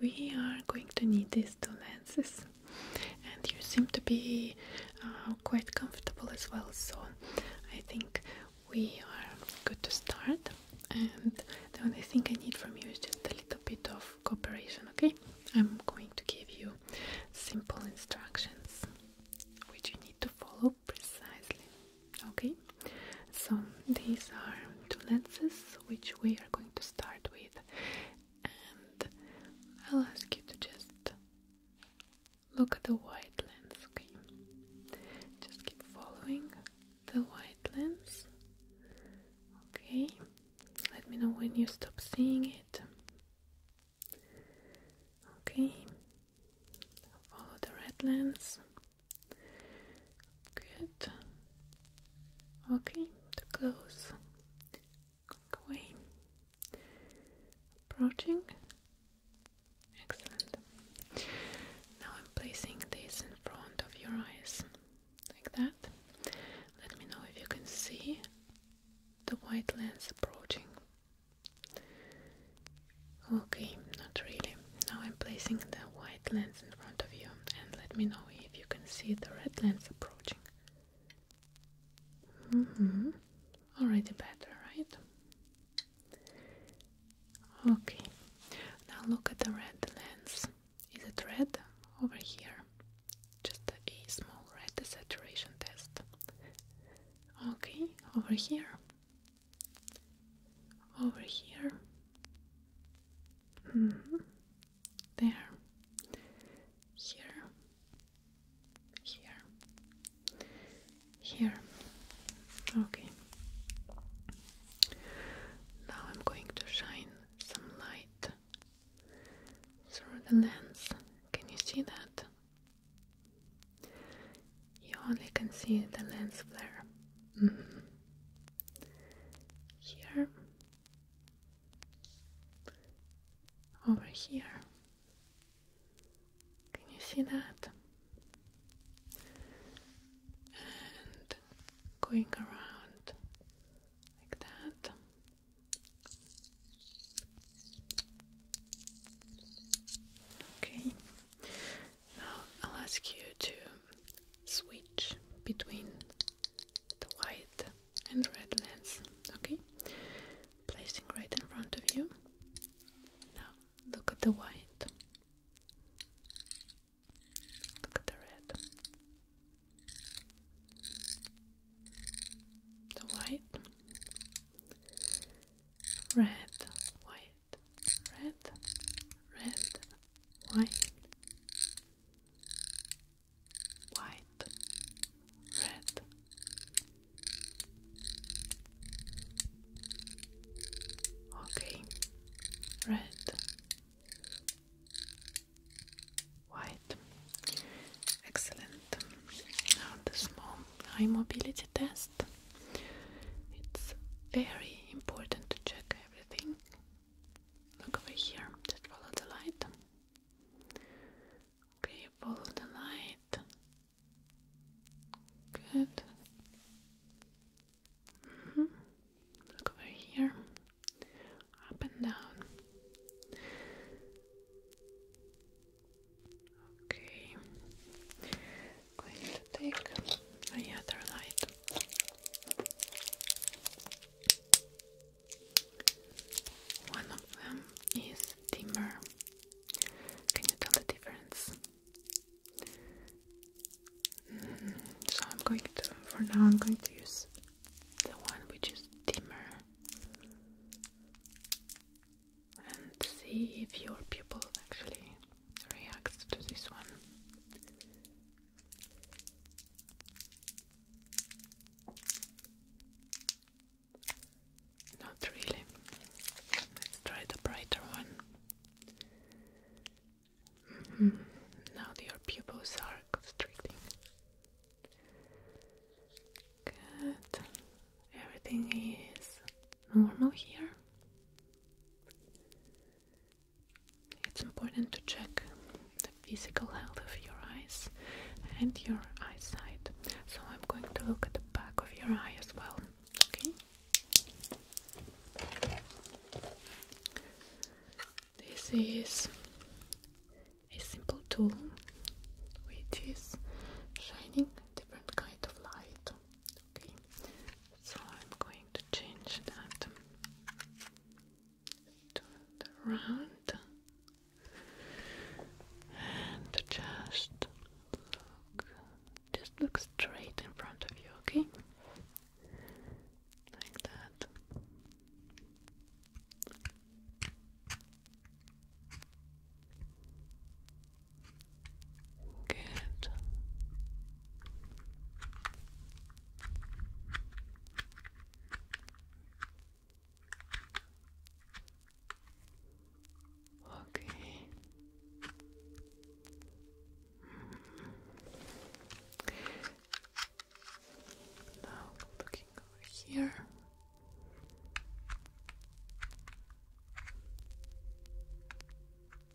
We are going to need these two lenses and you seem to be uh, quite comfortable as well so I think we are good to start and the only thing I need from you is just a little bit of cooperation okay I'm going to give you simple instructions which you need to follow precisely okay so these are two lenses which we are going to start with and I'll ask you to just look at the white lens, okay? Just keep following the white lens. Okay, let me know when you stop seeing it. Okay, follow the red lens. Good. Okay, the close. away. Approaching. Excellent. Now I'm placing this in front of your eyes, like that. Let me know if you can see the white lens approaching. Okay, not really. Now I'm placing the white lens in front of you and let me know if you can see the red lens approaching. Mm-hmm. Already better, right? Okay, now look at the red lens. Is it red over here? Just a small red saturation test. Okay, over here. Over here. Mm-hmm there, here, here, here. Okay. Now I'm going to shine some light through the lens. Can you see that? You only can see the lens flare. Mm-hmm here, over here. Can you see that? And going around like that. Okay, now I'll ask you to switch between the white and red lens. Okay, placing right in front of you. Now look at the white, look at the red. The white, red, white, red, red, white, white, red. Okay, red, white. Excellent. Now the small eye mobility test. It's very important to check everything Look over here, just follow the light. Okay, follow the light. Good. -hmm. Look over here, up and down. Okay, going to take the light. One of them is timber. Can you tell the difference? Mm, so I'm going to, for now, I'm going to use the one which is dimmer and see if your pupil actually reacts to this one. Not really. Let's try the brighter one. Mm-hmm. Now your pupils are constricting. Good. Everything is normal here. It's important to check the physical health of your eyes and your eyesight. So I'm going to look at the back of your eye as well. Okay? This is a simple tool which is shining a different kind of light. Okay? So I'm going to change that turn around and just look just look straight in front of you, okay? Like that. Good. Okay. Now looking over here. Good. Okay.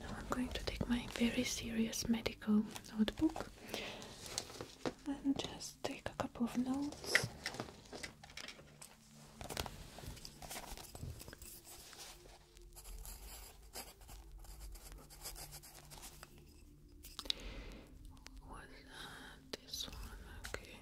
Now I'm going to take my very serious medical notebook and just take a couple of notes was that this one? Okay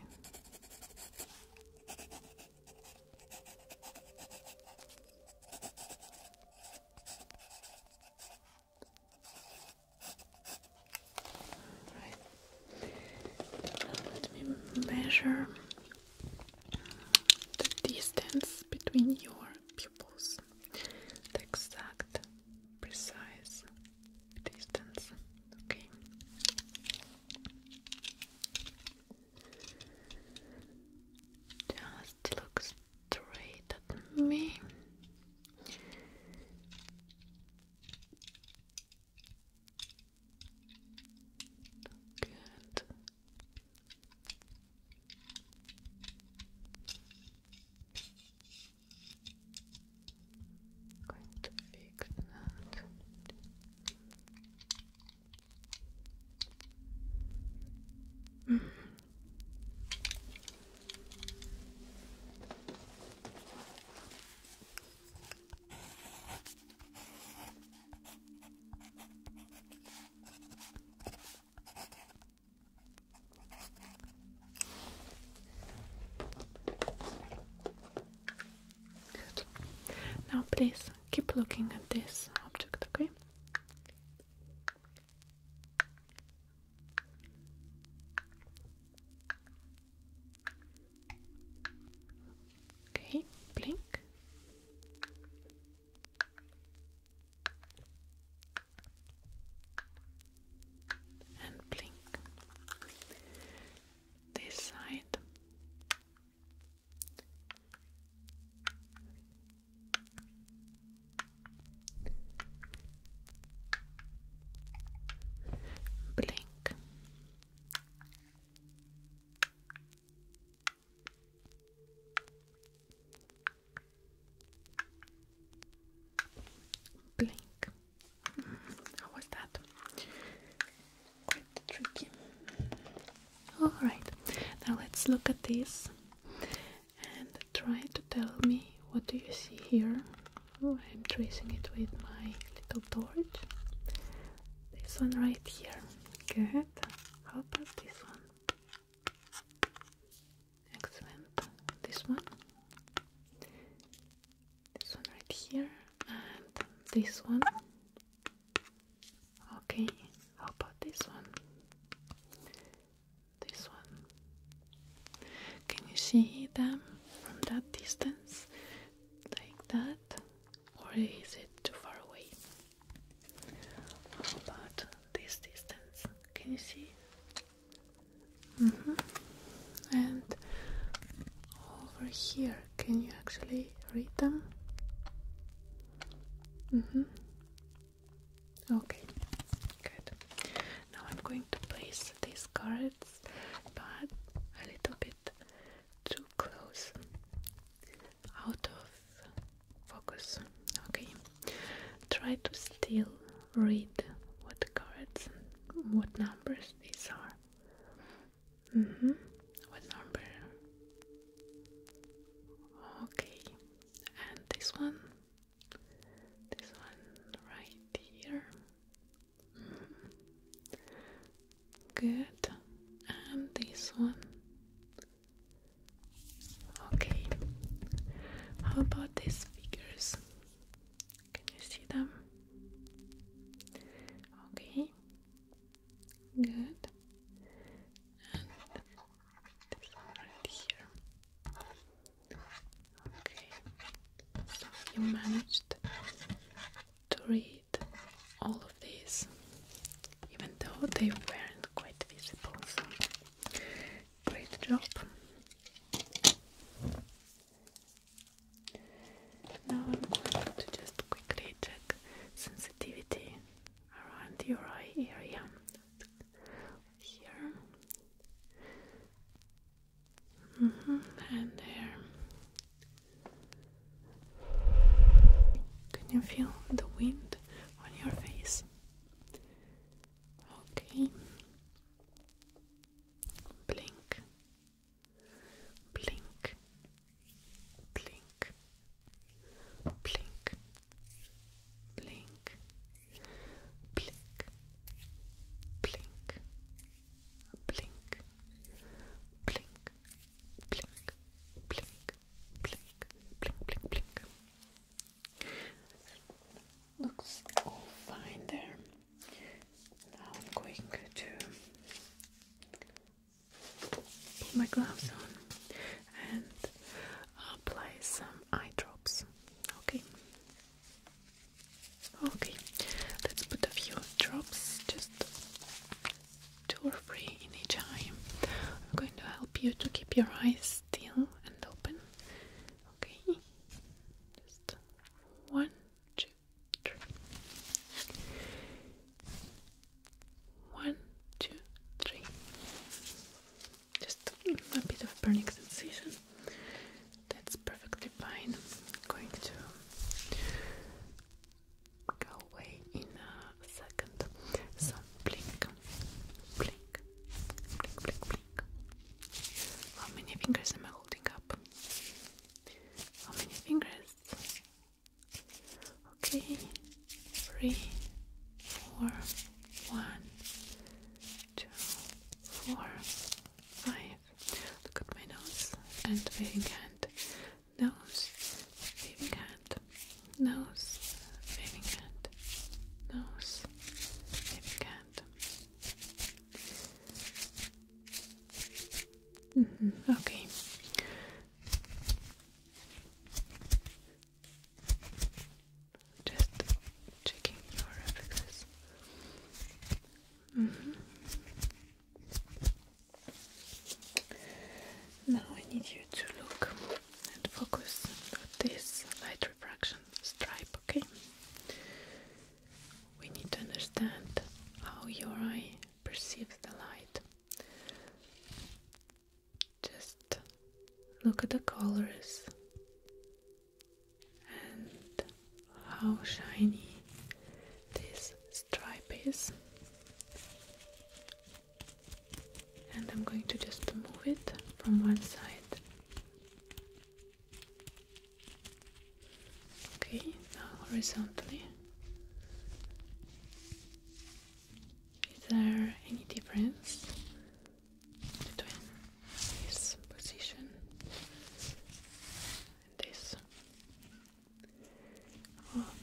let me measure the distance between your pupils, the exact, precise distance. Okay. Just look straight at me. Good. Going to fix that. Mm. Now, please keep looking at this object, okay? Okay, blink. And blink. This side. Blink. Blink. How was that? Quite tricky. Alright, now let's look at this and try to tell me what do you see here. Oh, I'm tracing it with my little torch. This one right here. Good. How about this one? Excellent. This one. This one right here. And this one. Okay. How about this one? This one. Can you see them from that distance? like that, or is it too far away? How about this distance? Can you see? Mm-hmm. And over here, can you actually read them? Mm-hmm. Okay, good. Now I'm going to place this card but a little bit too close, out of focus. Okay, try to still read what cards, what numbers these are. Mm -hmm. What number? Okay, and this one, this one right here. Good. And this one. Okay. How about these figures? Can you see them? Okay. Good. And this one right here. Okay. So you managed to read all of these, even though they weren't quite visible. So, great job. Now I'm going to just quickly check sensitivity around your eye area. Here, Mm-hmm. And there. Can you feel the wind on your face? Okay. Blink. Blink. Blink. Blink. Blink. Blink. Blink blink, blink, blink, blink, blink, blink, blink, blink. Looks all fine there. Now I'm going to put my gloves on and apply some eye drops. Okay. Okay, let's put a few drops, just two or three in each eye. I'm going to help you to keep your eyes still and open. Okay, just one, two, three. One, two, three. Just a bit of burning sensation. That's perfectly fine. I'm going to go away in a second. So blink, blink, blink, blink, blink. How many fingers am I holding up? How many fingers? Okay, three, four, one, two, four, five, Look at my nose and waving hand. Nose, waving hand. Nose, waving hand. Nose, waving hand. Mm-hmm, okay. Just checking your reflexes. Mm -hmm. Now I need you to look and focus at this light refraction stripe, okay? We need to understand how your eye perceives the light. Just look at the colors and how shiny this stripe is and I'm going to just move it from one side okay now horizontally is there any difference between this position this.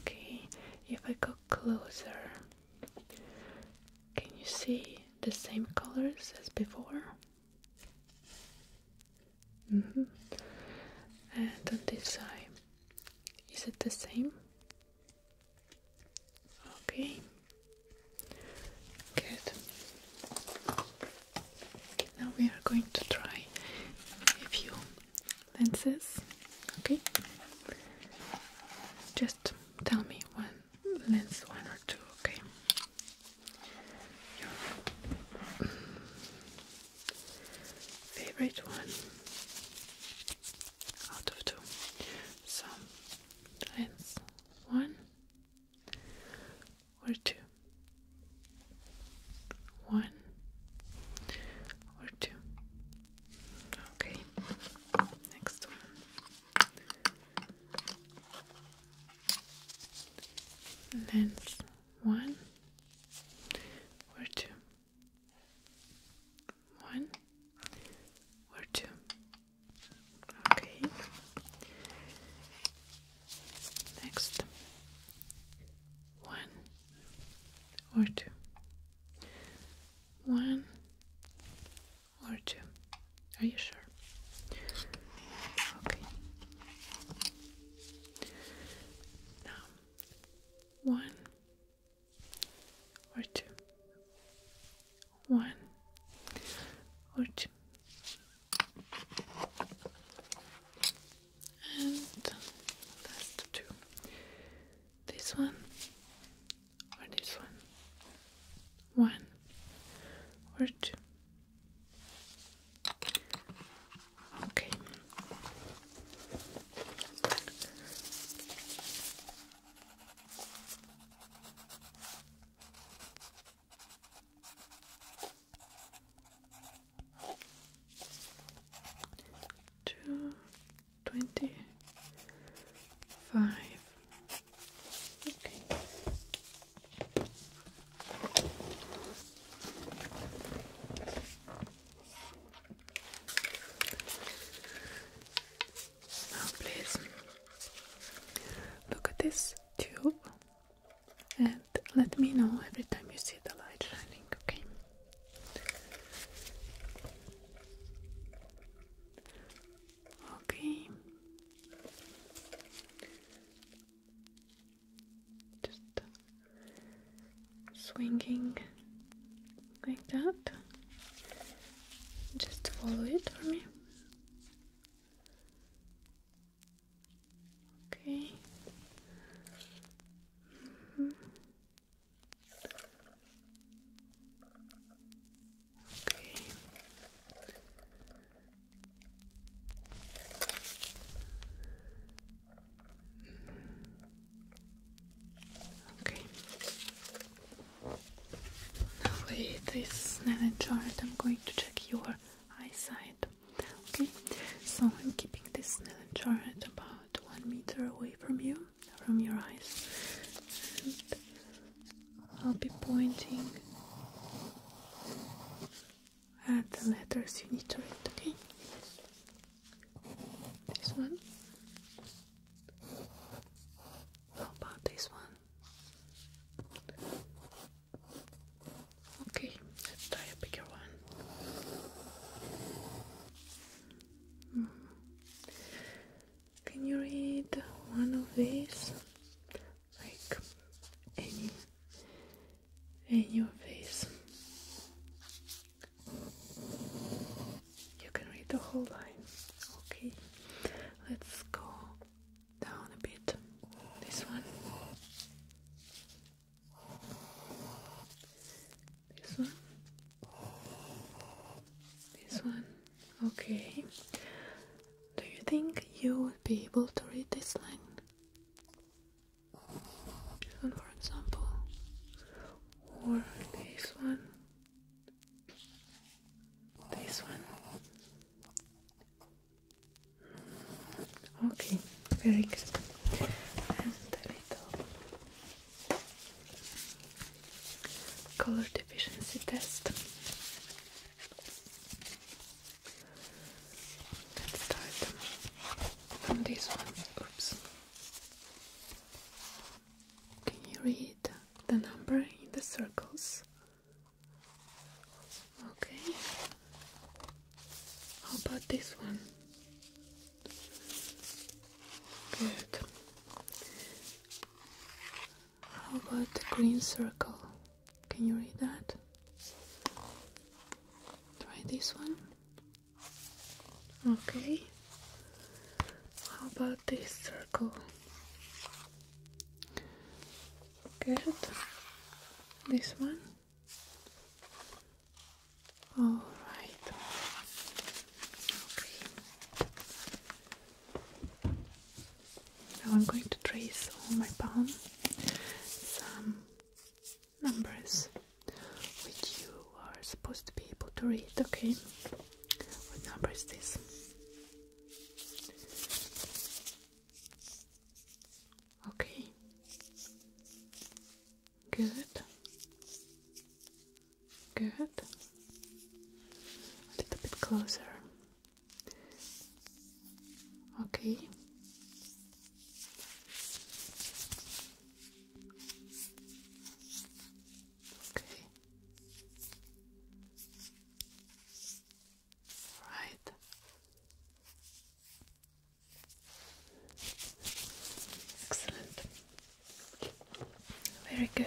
Okay, if I go closer, can you see the same colors as before? Mm-hmm. And on this side, is it the same? Okay, good. Now we are going to try a few lenses. Okay? Just tell me one lens, one or two, okay? Your favorite one out of two. So, lens one or two. One or two. Okay, next one. Lens one or two. One or two. Okay. Next one or two. One or two. Are you sure? Okay. Now, one or two. One or two and that's two. This one or this one, one or two. Okay. Two twenty five. Okay. Now, please look at this tube and let me know every time you see the light shining, okay? Okay. Just swinging like that. Just follow it for me. Okay. Mm Okay. Okay. Now with this nano chart, I'm going to check your eyesight. Okay, so I'm keeping this nail jar at about one meter away from you, from your eyes, and I'll be pointing at the letters you need to read. Okay, this one. How about this one? Okay, let's try a bigger one. Hmm. Can you read one of these? Like any any of these. You can read the whole line. Okay. Let's go down a bit. This one. This one. This one. Okay. Do you think you would be able to read this line? for example. Or this one. This one. Okay, very good. a little color deficiency test. Let's start from this one. Oops. Can you read the number in the circles? Okay. How about this one? Good. How about the green circle? Can you read that? Try this one. Okay. How about this circle? Good. This one. All right. Okay. Now I'm going to trace on my palm some numbers which you are supposed to be able to read, okay? What number is this? Okay. Good. Good. A little bit closer. Okay. Okay. Right. Excellent. Very good.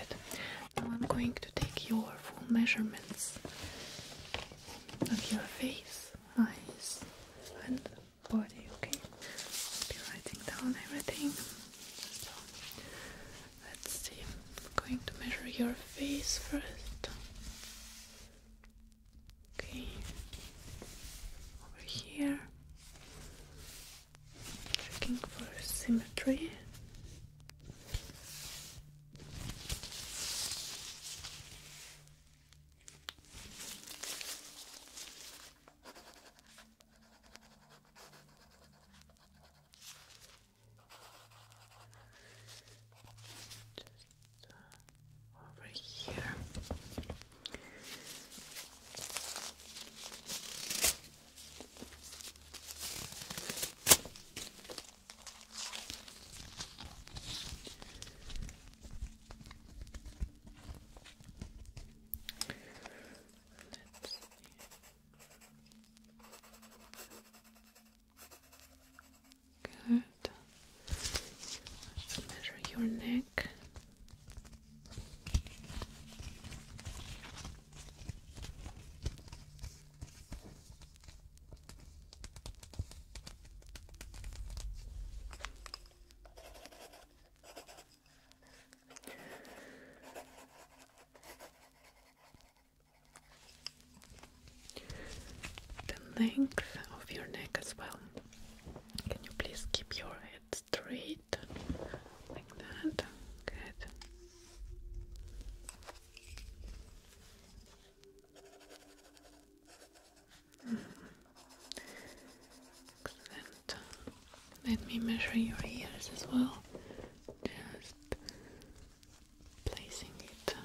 Now I'm going to take your full measurements of your face, eyes, and body, okay? I'll be writing down everything. So let's see. I'm going to measure your face first. Okay, over here, looking for symmetry over here. Let's see. Good. measure your neck the length of your neck as well. Can you please keep your head straight like that? Good. Mm. Let me measure your ears as well. Just placing it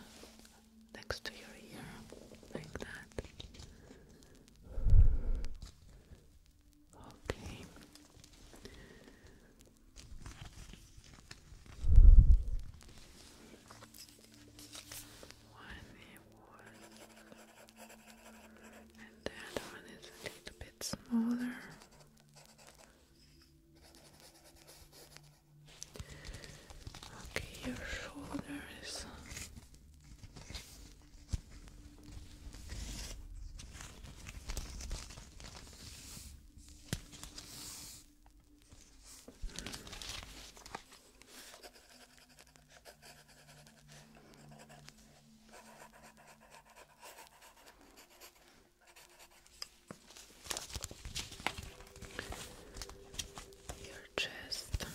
next to your ear, like that. Okay. One and the one is a little bit smaller. Okay, your shoulders your chest.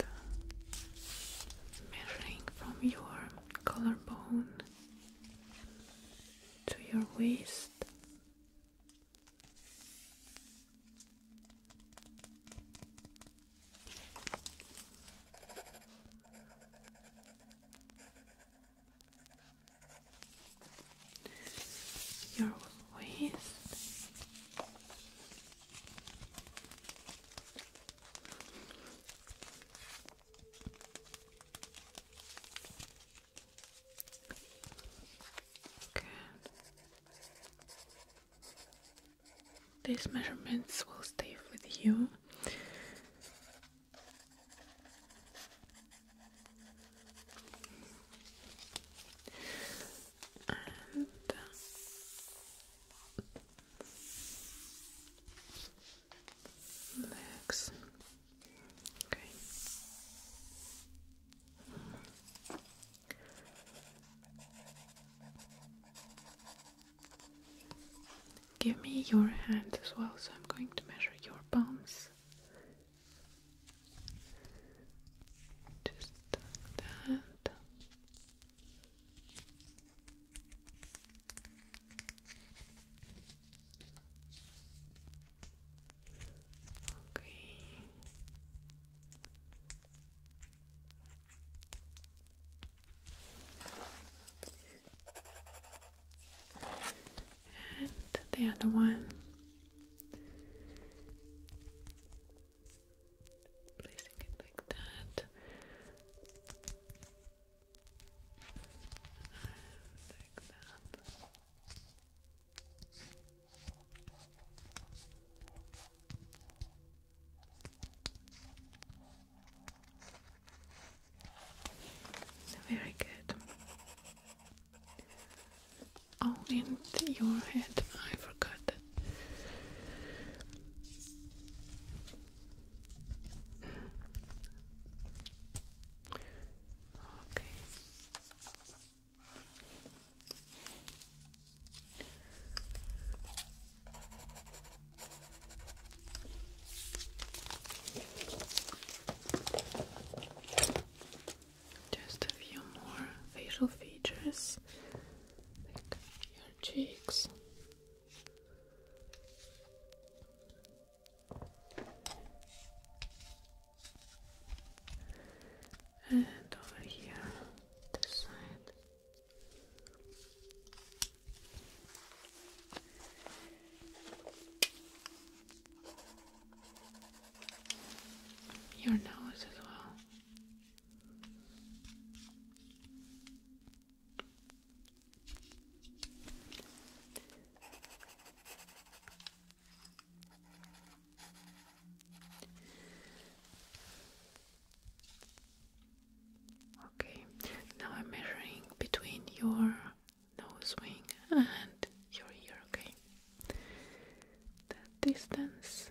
Uh, measuring from your collarbone to your waist. Your waist these measurements will stay with you. And legs. Uh, Give me your hand as well, so I'm going to measure your palms. Just like that. Okay. And the other one. Placing it like that like that. very good. Oh, in your head, I forgot just a few more facial features, like your cheeks and over here, this side. Your nose as well. Okay, now I'm measuring between your nose wing and your ear, okay? That distance.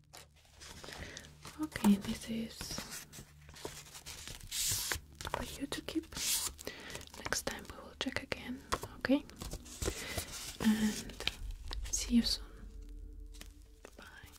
Okay, this is for you to keep. Next time we will check again, okay? And see you soon. Bye.